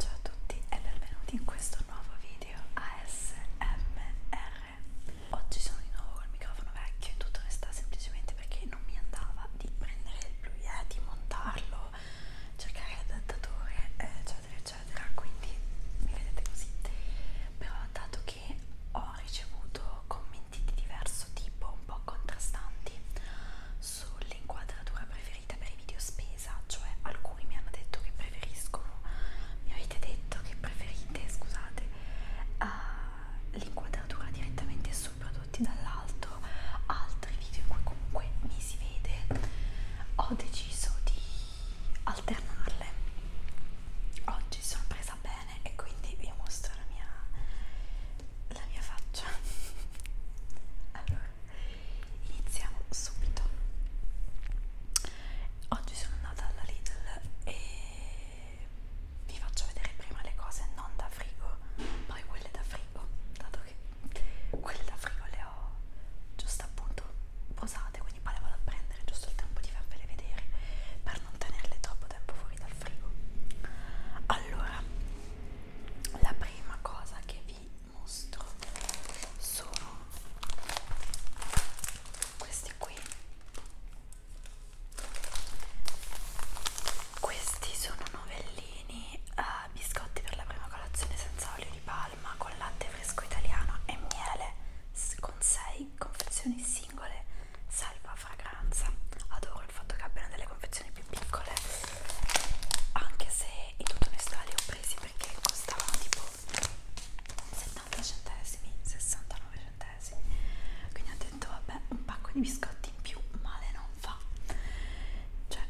Ciao a tutti e benvenuti in questo nuovo video ASMR Oggi sono di nuovo col microfono vecchio in tutta onestà semplicemente perché non mi andava di prendere il Blue Yeti, montarlo, cercare l'adattatore eccetera eccetera quindi mi vedete così però dato che ho ricevuto commenti di diverso tipo un po' contrastanti sull'inquadratura preferita per i video spesa, cioè alcuni mi hanno detto che preferiscono, mi avete detto che preferite, scusate, uh, l'inquadratura direttamente su prodotti dall'alto, altri video in cui comunque mi si vede, ho deciso di alternarle. Oggi sono presa bene e quindi vi mostro la mia la mia faccia allora iniziamo subito oggi sono andata alla Lidl e vi faccio vedere prima le cose non da frigo poi quelle da frigo dato che quelle da frigo le ho giusto appunto posate quindi poi le vado a prendere giusto il tempo di farvele vedere per non tenerle troppo tempo fuori dal frigo allora la prima cosa che vi mostro sono questi qui questi sono novellini uh, biscotti per la prima colazione senza olio di palma con latte fresco italiano e miele con 6 confezioni singole salva fragranza adoro il fatto che abbiano delle confezioni più piccole anche se in tutta onestà li ho presi perché costavano tipo 70 centesimi 69 centesimi quindi ho detto vabbè un pacco di biscotti in più male non fa cioè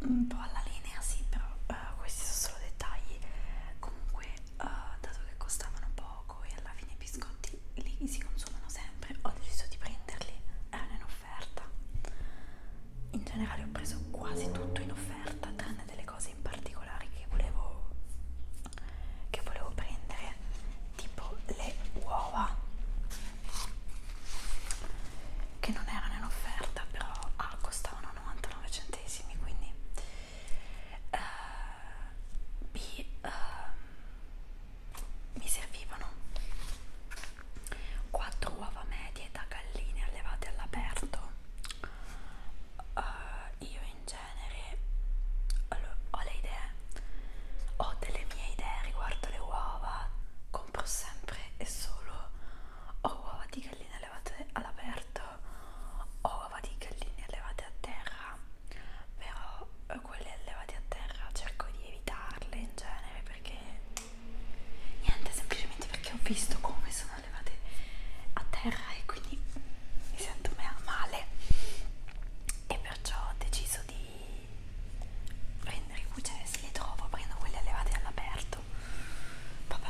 un po' alla linea sì però uh, questi sono solo dettagli comunque uh, dato che costavano poco e alla fine i biscotti lì si consumano sempre ho deciso di prenderli erano eh, in offerta offerta in generale ho preso quasi tutto in offerta tranne delle cose in particolare che volevo che volevo prendere tipo le uova che non erano in offerta però ah, costavano 99 centesimi quindi uh, B uh, mi servivano 4 uova medie da galline allevate all'aperto uh, io in genere allora, ho le idee ho delle mie idee riguardo le uova compro sempre e solo o uova di galline allevate all'aperto o uova di galline allevate a terra però quelle allevate a terra cerco di evitarle in genere perché niente semplicemente perché ho visto come sono levate a terra e quindi mi sento male e perciò ho deciso di prendere i cucine se li trovo prendo quelle allevate all'aperto vabbè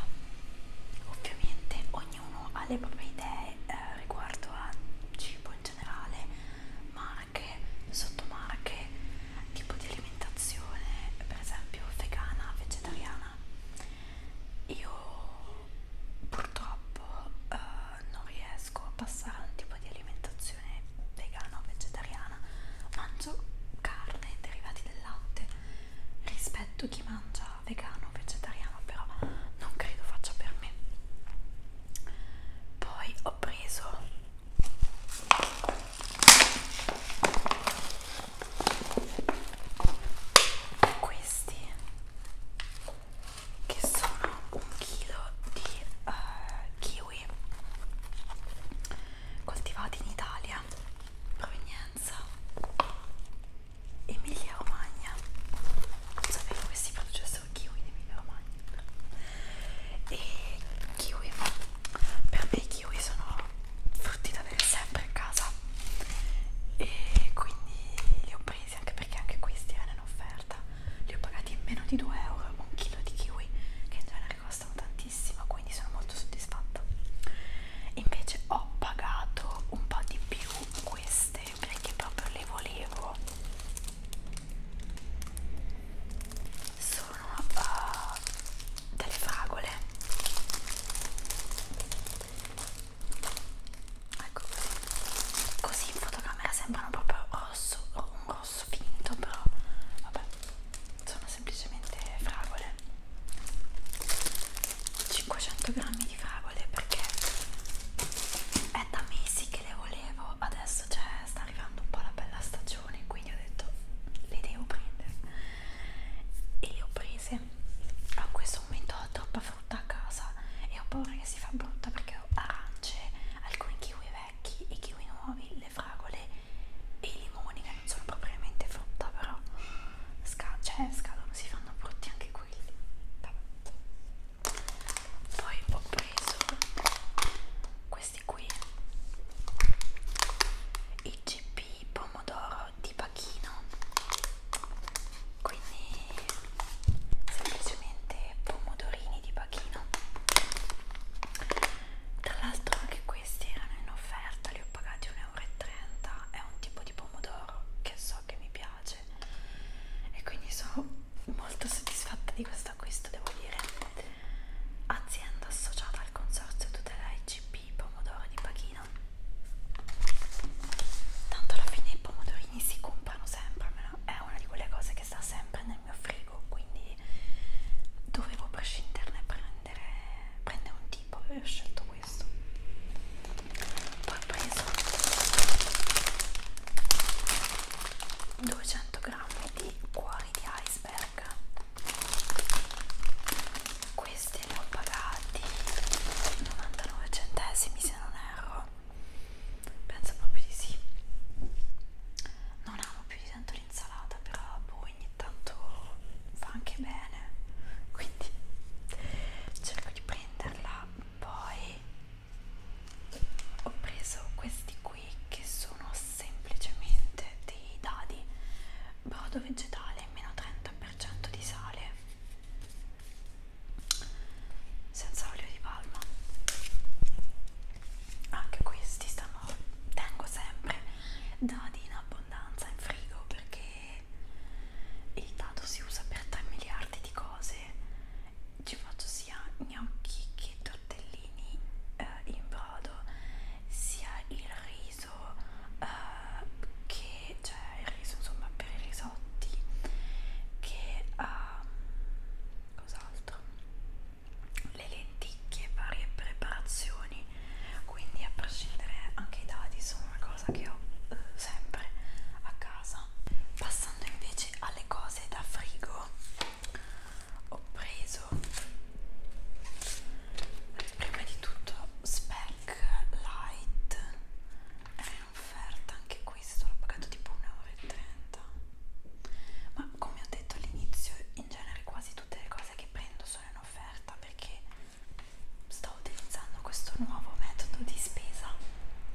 ovviamente ognuno ha le proprie idee eh, riguardo a cibo in generale ma marche, sottomarche, tipo di alimentazione, per esempio vegana, vegetariana. Io purtroppo eh, non riesco a passare a un tipo di alimentazione vegana o vegetariana, mangio carne, derivati del latte, rispetto chi mangia vegano o vegetariano, però non credo faccia per me. Poi ho preso questi che sono un chilo di uh, kiwi coltivati in Italia provenienza Emilia Romagna non sapevo che si producessero kiwi in Emilia Romagna e kiwi per me i kiwi sono frutti da avere sempre a casa e quindi li ho presi anche perché anche questi erano in offerta li ho pagati meno di 2 euro un chilo di kiwi che in genere costano tantissimo quindi sono molto soddisfatta invece ho pagato un po' di più queste perché proprio le volevo sono sono uh, eh, delle fragole ecco così così in fotocamera sembrano proprio rosso un rosso finto però vabbè sono semplicemente fragole 500 grammi di fragole perché è da mesi che le volevo adesso cioè sta arrivando un po' la bella stagione qui quindi ho detto le devo prendere e le ho prese a questo momento ho troppa frutta a casa e ho paura che si fa brutta perché ho arance, alcuni kiwi vecchi e kiwi nuovi, le fragole e i limoni che non sono propriamente frutta però sca cioè, scadono, si fanno brutti anche quelli Vabbè. poi ho preso questa questi qui IGP pomodoro di pachino quindi semplicemente pomodorini di pachino tra l'altro anche questi erano in offerta li ho pagati 1,30 euro è un tipo di pomodoro che so che mi piace e quindi sono molto soddisfatta di questo acquisto devo dire azienda associata al consorzio tutela IGP pomodoro di Pachino tanto alla fine i pomodorini si comprano sempre almeno è una di quelle cose che sta sempre nel mio frigo quindi dovevo prescinderne e prendere, prendere un tipo e ho scelto questo poi ho preso 200 grammi di cuori di iceberg Bag ecco. questi li ho pagati 99 centesimi se non erro penso proprio di sì non amo più di tanto l'insalata però boh, ogni tanto fa anche bene quindi cerco di prenderla poi ho preso questi qui qui che sono semplicemente dei dadi brodo vegetale meno 30% di sale senza olio di palma anche questi stanno tengo sempre dadi in abbondanza in frigo perché il dado si usa per 3 miliardi di cose ci faccio sia in gnocchi che tortellini eh, in brodo sia il riso eh, che cioè il riso insomma per i risotti che eh, cos'altro le lenticchie varie preparazioni quindi a prescindere anche i dadi sono una cosa che ho eh, sempre a casa passando invece alle cose da frigo ho preso prima di tutto Spec Light è in offerta anche questo l'ho pagato tipo 1,30 euro ma come ho detto all'inizio in genere quasi tutte le cose che prendo sono in offerta perché sto utilizzando questo nuovo metodo di spesa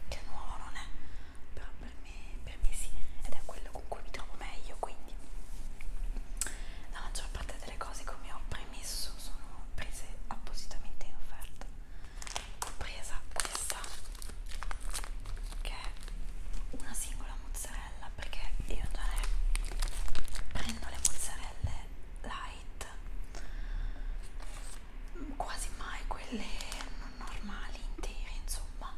che nuovo non è però per me permessi ed è quello con cui mi trovo meglio quindi la maggior parte delle cose come ho premesso sono prese appositamente in offerta ho presa questa che è una singola mozzarella perché io in genere prendo le mozzarelle light quasi mai quelle non normali intere insomma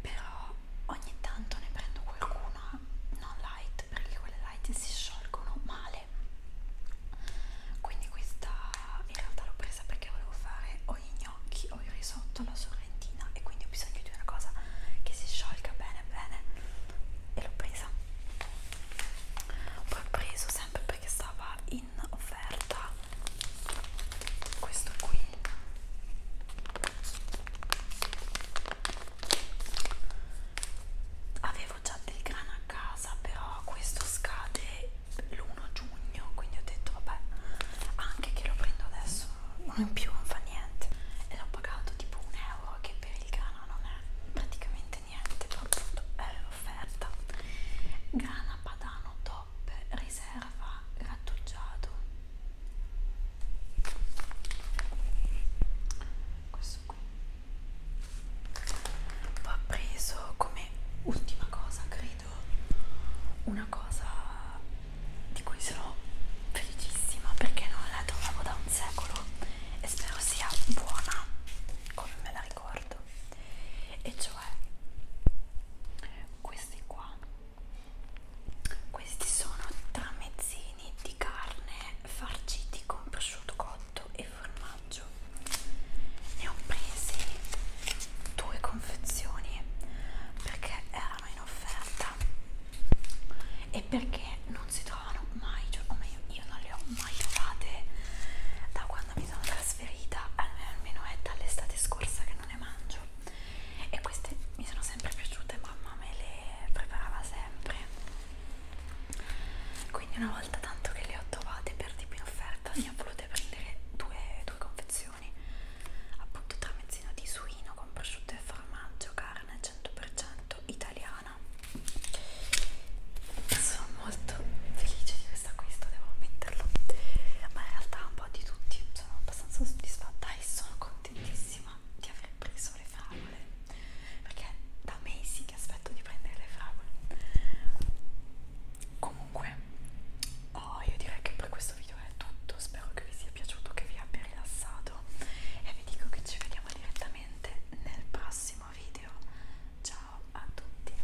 però ogni tanto ne prendo qualcuna non light perché quelle light si sciolgono male quindi questa in realtà l'ho presa perché volevo fare o gli gnocchi o il risotto alla sorrentina e quindi ho bisogno di una cosa che si sciolga bene bene e l'ho presa poi ho preso sempre perché stava in offerta questo qui avevo già del grano a casa però questo scade l'1 giugno quindi ho detto vabbè anche che lo prendo adesso non in più non fa niente e l'ho pagato tipo un euro che per il grano non è praticamente niente però appunto era l'offerta grana padano top riserva grattugiato questo qui ho preso come ultima cosa credo una cosa di cui sono felicissima perché non la trovavo da un secolo e spero sia buona come me la ricordo e cioè questi qua questi sono tramezzini di carne farciti con prosciutto cotto e formaggio. Ne ho presi due confezioni perché erano in offerta e perché non si trovano mai, cioè, o meglio, io non le ho mai trovate da quando mi sono trasferita, almeno è dall'estate scorsa che non ne mangio e queste mi sono sempre piaciute mamma me le preparava sempre quindi una volta tanto che le ho trovate per di più in offerta ne ho volute prendere due, due confezioni appunto tramezzino di suino con prosciutto e formaggio carne 100% italiana sono molto felice di questo acquisto devo ammetterlo ma in realtà un po' di tutti sono abbastanza soddisfatta e sono contenta contentissima di aver preso le fragole perché da mesi che aspetto di prendere le fragole comunque oh, io direi che per questo video è tutto spero che vi sia piaciuto che vi abbia rilassato e vi dico che ci vediamo direttamente nel prossimo video ciao a tutti